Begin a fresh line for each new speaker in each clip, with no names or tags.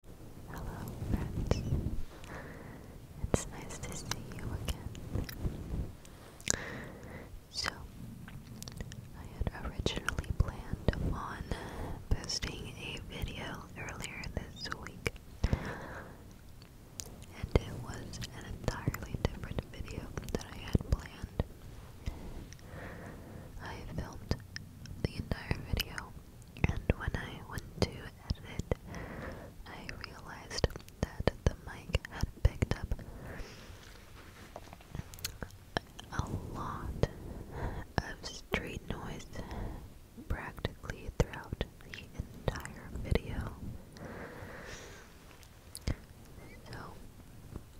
Hello, friends. It's nice to see you again. So, I had originally planned on posting a video earlier this week, and it was an entirely different video that I had planned. I filmed the entire video and when I went to edit, I realized that the mic had picked up a lot of street noise practically throughout the entire video. So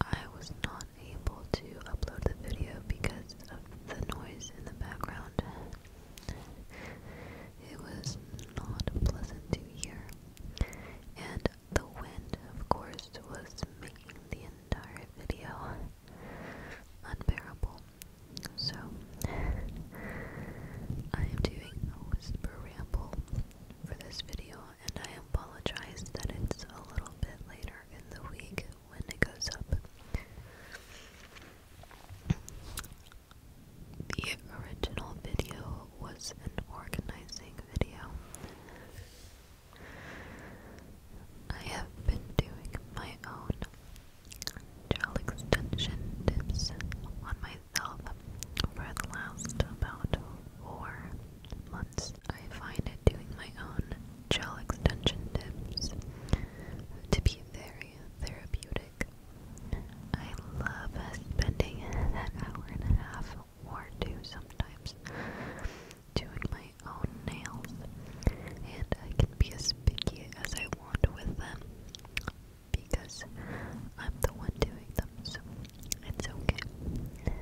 I was not able to upload the video because of the noise in the background. It was not pleasant to hear, and the wind, of course, was making the entire video unbearable. So, I am doing a whisper ramble for this video, and I apologize that it's a little bit later in the week when it goes up. The original video was an organizing video. I have been doing my own gel extension tips on myself for the last about four months. I find doing my own gel extension tips to be very therapeutic. I love spending that hour and a half or two sometimes doing my own nails, and I can be as picky as I want with them because I'm the one doing them, so it's okay.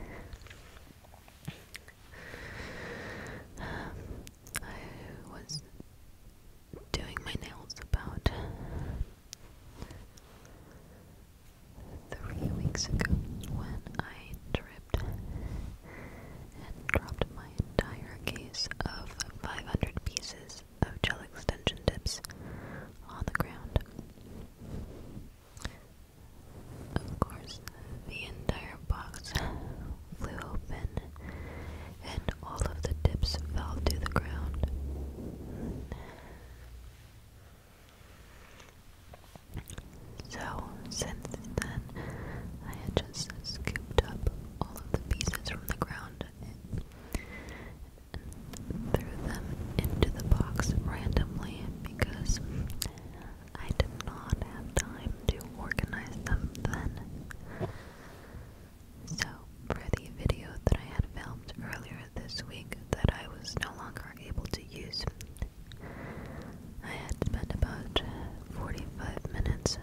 I was doing my nails about three weeks ago when I tripped and dropped my entire case of 500 pieces of gel extension tips on the ground. Of course, the entire box flew open and all of the tips fell to the ground. So, since then, I had just scooped up all of the pieces from the ground and threw them into the box randomly because I did not have time to organize them then. So, for the video that I had filmed earlier this week that I was no longer able to use, I had spent about 45 minutes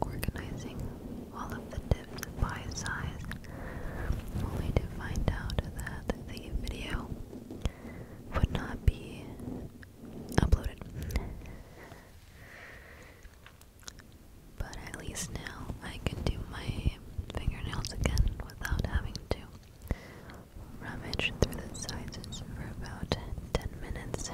organizing all of the dips by size, only to find out that the video would not be uploaded. But at least now I can do my fingernails again without having to rummage through the sizes for about 10 minutes.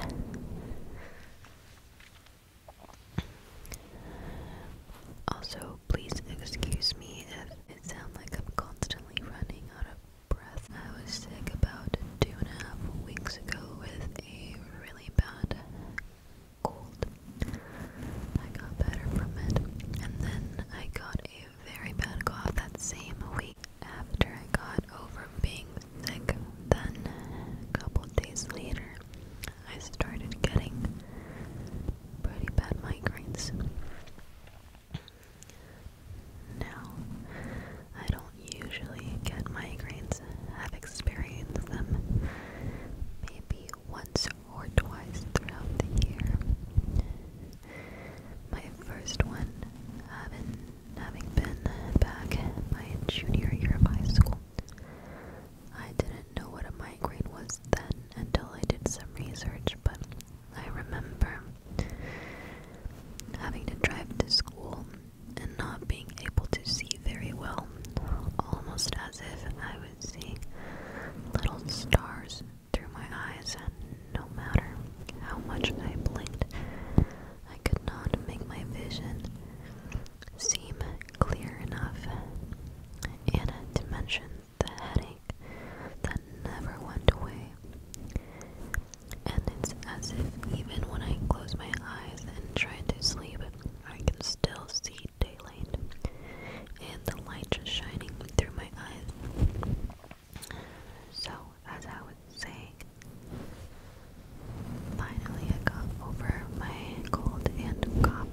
Also, please excuse me if it sounds like I'm constantly running out of I was sick about two and a half weeks ago with a really bad cold. I got better from it, and then I got a very bad cough that same week. After I got over being sick, then a couple days later, I started getting pretty bad migraines. Now, I don't usually get migraines. I've experienced them maybe once or twice throughout the year. My first one having, having been back my junior year of high school. I didn't know what a migraine was then until I did some research, but I remember having to drive to school and not being able to see very well, almost as if I was seeing little stars through my eyes, and no matter how much I blinked, I could not make my vision seem clear enough. In a dimension the headache that never went away. And it's as if even when I close my eyes and try to sleep, I can still see daylight and the light just shining through my eyes. So, as I was saying, finally I got over my cold and cough.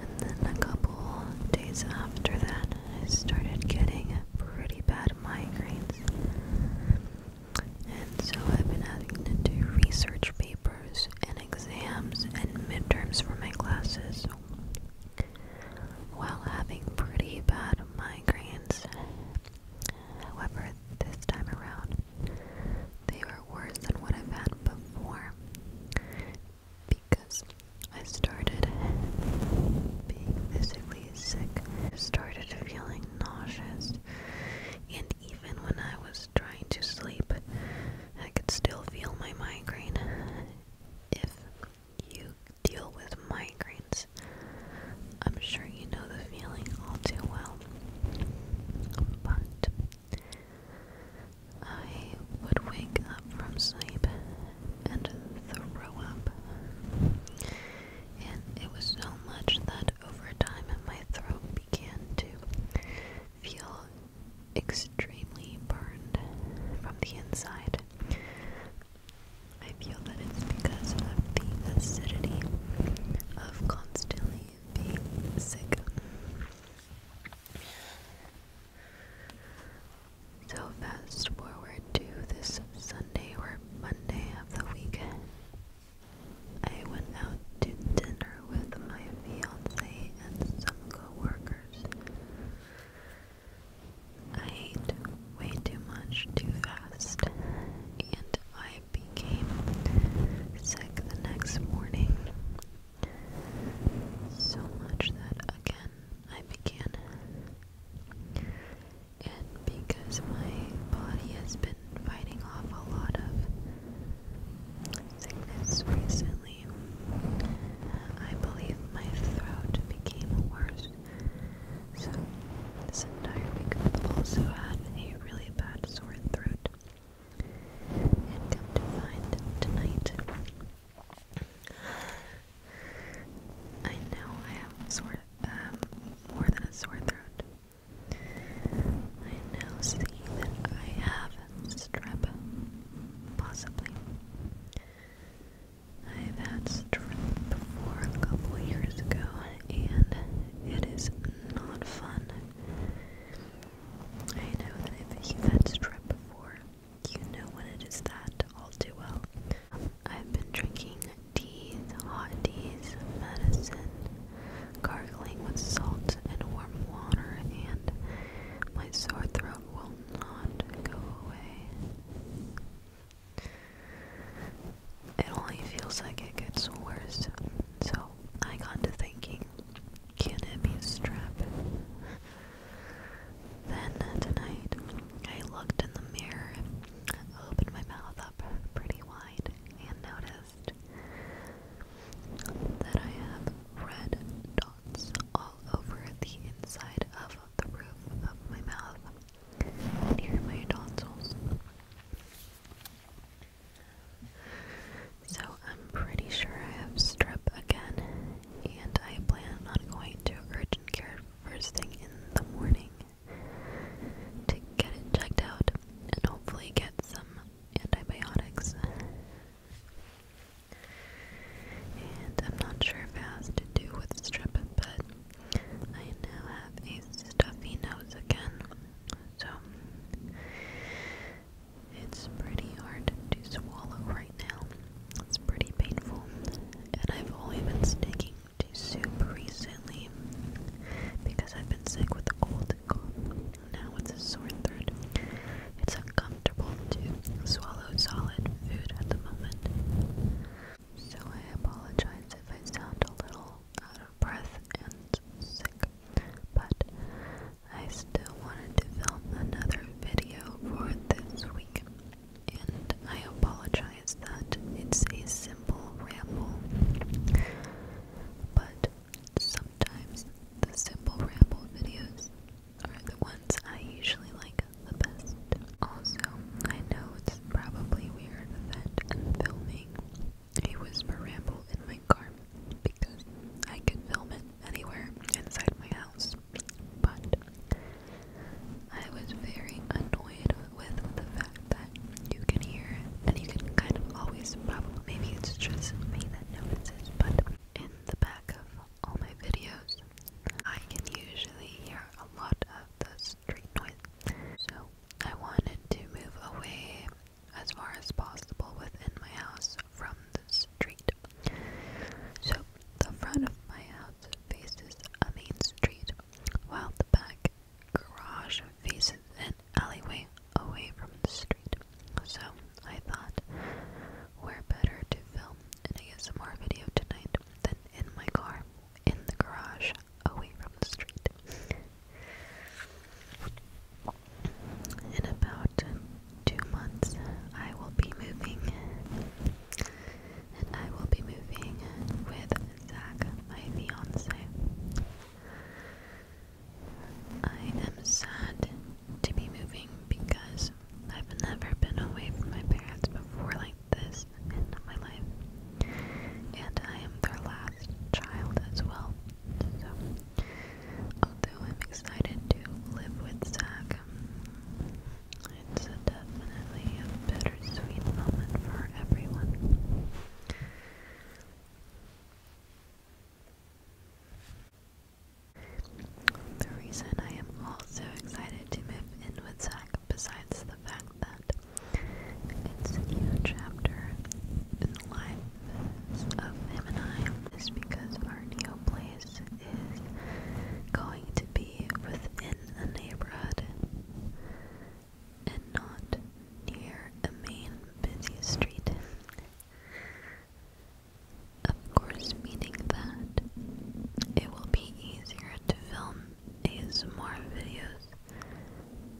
And then a couple days after that, I started getting pretty bad migraines. And so I've been having to do research papers and exams and midterms for my classes while having pretty bad migraines. However, this time around, they were worse than what I've had before because I started being physically sick. I started feeling nauseous, and even when I was trying to sleep, I could still feel my migraine. If you deal with migraines, I'm sure you know the feeling all too well. But I would wake up from sleep and throw up. And it was so much that over time my throat began to feel extremely burned from the inside. I feel that it's because of the acidity of constantly being sick. So fast forward to this Sunday or Monday of the weekend. I went out to dinner with my fiance and some coworkers. I ate way too much too fast and I became sick the next morning so much that again I began. And because my body has been fighting off a lot of sickness recently, I believe my throat became worse. So, this entire week I've also had a really bad sore throat. And come to find tonight I know I have sore, um, more than a sore throat. I now see that I have strep, possibly. i had strep before a couple years ago, and it is not fun. I know that if you had strep before, you know when it is that all too well. I've been drinking teas, hot teas, medicine, gargling with salt and warm water, and my sore throat will not go away. It only feels like it gets worse. So I got to thinking cunibby strap. then uh, tonight, I looked in the mirror, opened my mouth up pretty wide, and noticed that I have red dots all over the inside of the roof of my mouth, near my tonsils. So I'm pretty sure I have strep again, and I plan on going to urgent care first thing in the morning to get it checked out and hopefully get some antibiotics. And I'm not sure if it has to do with strep, but I now have a stuffy nose again. So it's pretty hard to swallow right now. It's pretty painful. And I've only been sticking to soup recently because I've been sick with a cold and Now it's a sore throat. It's uncomfortable to swallow solid food at the moment. So I apologize if I sound a little out of breath and sick but I still wanted to film another video for this week, and I apologize that it's a simple ramble, but sometimes the simple ramble videos are the ones I usually like the best. Also, I know it's probably weird that I'm filming a whisper ramble in my car because I can film it anywhere inside my house. But I was very annoyed with the fact that you can hear and you can kind of always probably maybe it's just me that notices, but in the back of all my videos, I can usually hear a lot of the street noise. So I wanted to move away as far as possible within my house from the street. So the front of my house faces a main street, while the back garage faces an alleyway away from the street. So I thought we're better to film an ASMR video tonight than in my car, in the garage, away from the street. In about two months, I will be moving, and I will be moving with Zach, my fiance. I am sad to be moving because I've never been away from my parents before like this in my life, and I am their last child as well although I'm excited to live with Zach, um, it's definitely a bittersweet moment for everyone. The reason I am also excited to move in with Zach, besides the fact that it's a new chapter, lives of him is because our new place is going to be within a neighborhood and not near a main busy street. Of course, meaning that it will be easier to film ASMR videos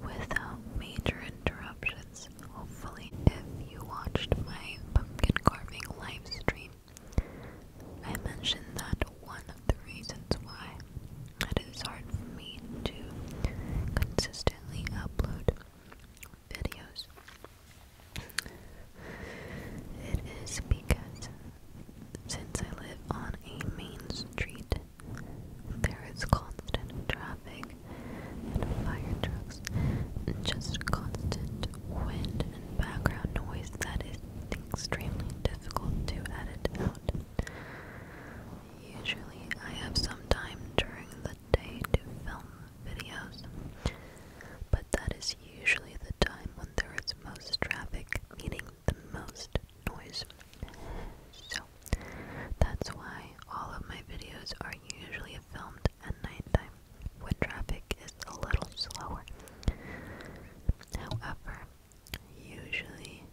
without major interruptions Hopefully, if you watched my pumpkin carving livestream, I mentioned that one of the reasons why it is hard for me to consistently upload videos. It is because since I live on a main street, there is constant traffic and fire trucks and just constant wind and background noise that is extremely difficult to edit out. Usually I have some time during the day to film videos, but that is usually the time when there is most traffic, meaning the most noise that's why all of my videos are usually filmed at nighttime when traffic is a little slower. However, usually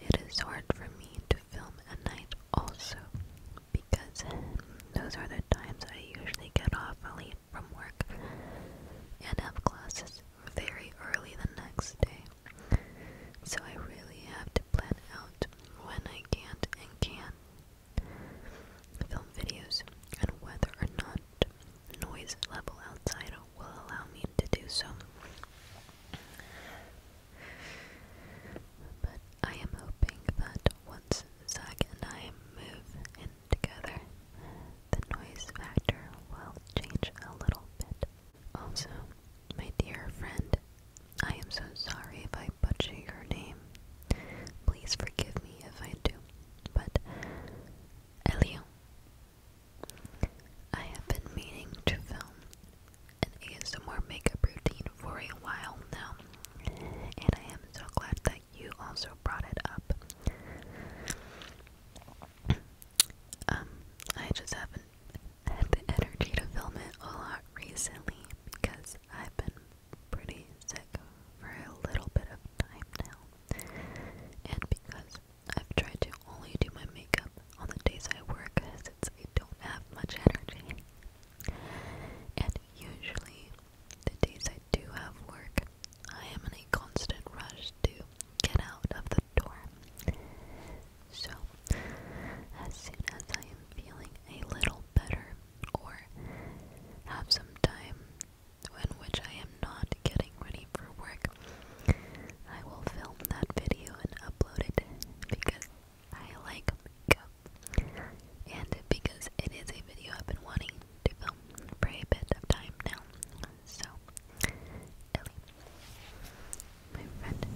it is hard for me to film at night also because those are the times I usually get off early from work and have classes very early the next day. So I really have to plan out when I can't and can film videos and whether or not noise level outside will allow me to do so. But I am hoping that once Zach and I move in together, the noise factor will change a little bit. Also, my dear friend I am so sorry if I butcher your name. Please forgive me if I do. But, Elion, I have been meaning to film an ASMR makeup routine for a while now, and I am so glad that you also brought it up. Um, I just haven't had the energy to film it a lot recently because I've been pretty sick for a little bit of time now. And because I've tried to only do my makeup on the days I work since I don't have much energy. And usually, the days I do have work, I am in a constant rush to get out of the dorm. So, as soon as I am feeling a little better or have some time in which I am not getting ready for work, I will film that video and upload it because I like makeup and because it is a video I've been wanting to film for a bit of time now. So, my friend,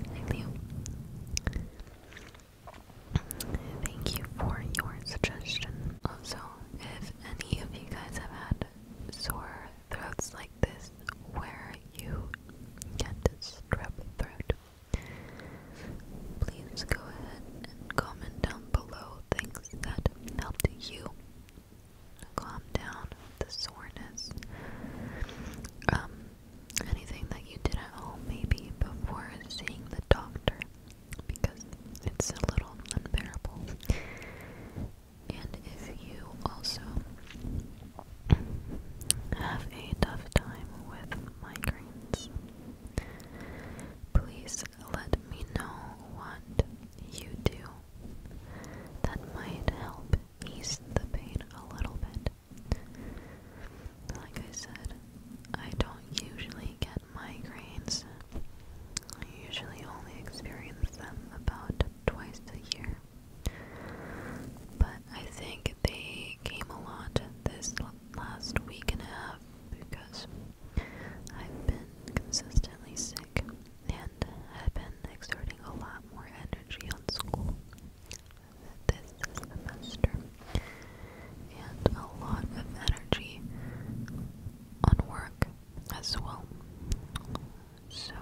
Thank you for your suggestion. Also, if any of you guys have had sore throats like this, where you can strep throat, please go ahead and comment down below things that helped you calm down with the soreness. Um, anything that you did at home maybe before seeing the doctor because it's a little unbearable. And if you also have a tough time with migraines, please let me know what you do that might help ease the pain a little bit. Like I said, I don't usually get migraines. I usually only experience them about twice a year. But I think they came a lot this last week and a half because I've been consistently sick sick and had been exerting a lot more energy on school this semester, and a lot of energy on work as well. So,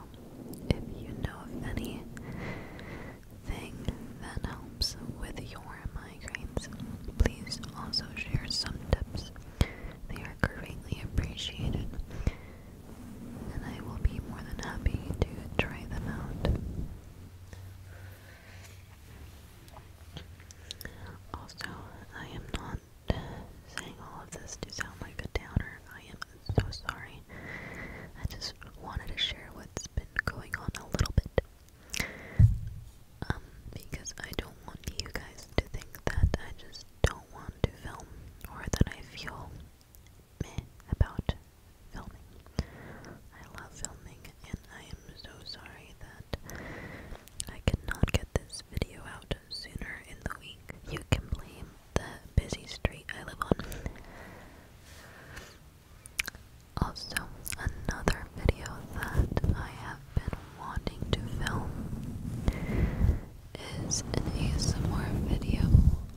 if you know of that helps with your migraines, please also share some tips. They are greatly appreciated and I will be more than happy to try them out. Also, I am not saying all of this to sound like a downer. I am so sorry. I just wanted to share what's been going on a little bit. Um, because I don't want you guys to think that I just don't want to film or that I feel meh about filming. I love filming, and I am so sorry that I cannot get this video out sooner in the week. You can blame the busy street I live on. Also, another video that I have been wanting to film is an ASMR video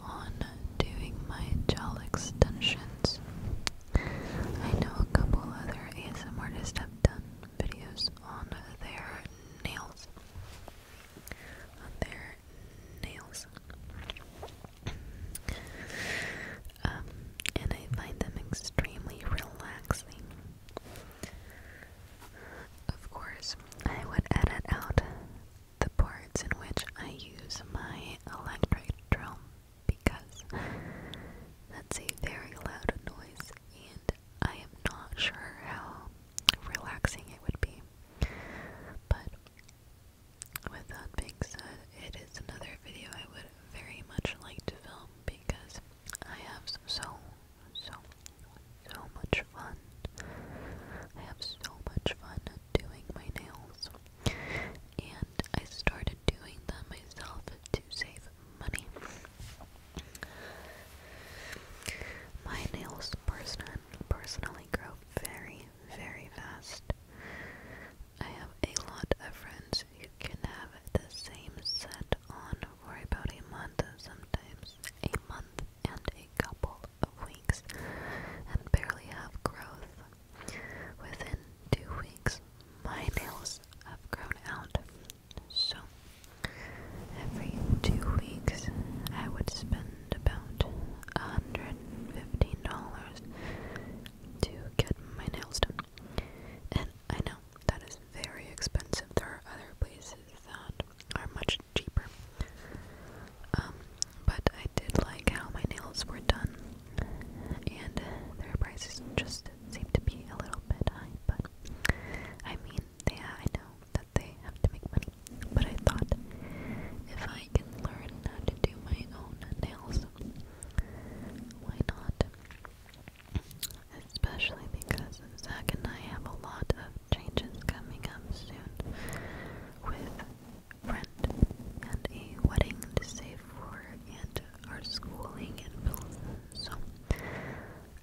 on doing my gel extensions. I know a couple other ASM artists have done videos on their nails. On their nails. Um, and I find them extremely relaxing. Of course, I would edit out the parts in which I use my electric drill because that's a very loud noise and I am not sure how relaxing it would be. But with that being said, it is another video I would very much like to film because I have some so so, so much fun. I have so much fun doing my nails. And I started doing them myself to save money. My nails person personally grow very, very fast. I have a lot of friends who can have the same set on for about a month sometimes. A month and a couple of weeks and barely have growth. Within two weeks, my nails have grown out. So, every two weeks, I would spend about $115 to get my nails done. And I know that is very expensive. There are other places that are much cheaper. Um, but I did like how my nails were done, and their prices just seem to be a little bit high. But I mean, yeah, I know that they have to make money. But I thought if I can learn how to do my own nails, why not? Especially because Zach and I have a lot of changes coming up soon with friend and a wedding to save for and our schooling in Pilsen. So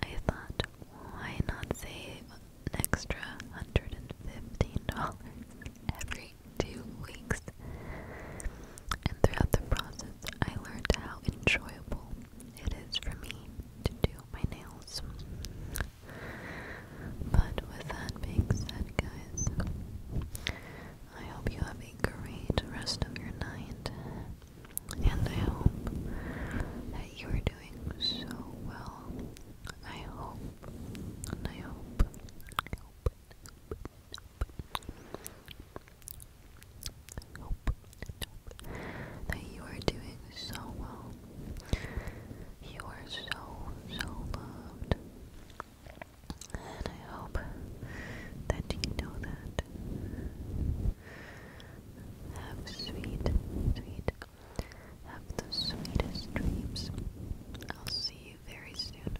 I thought why not save an extra hundred and fifteen dollars every two weeks? And throughout the process I learned how enjoyable it is for me to do my nails. But with that being said, guys, I hope you have a great rest of your night. And I hope that you are doing so well. I hope, I hope, hope hope that you are doing so well. You are so, so loved. And I hope that you know that. Have sweet, sweet, have the sweetest dreams. I'll see you very soon.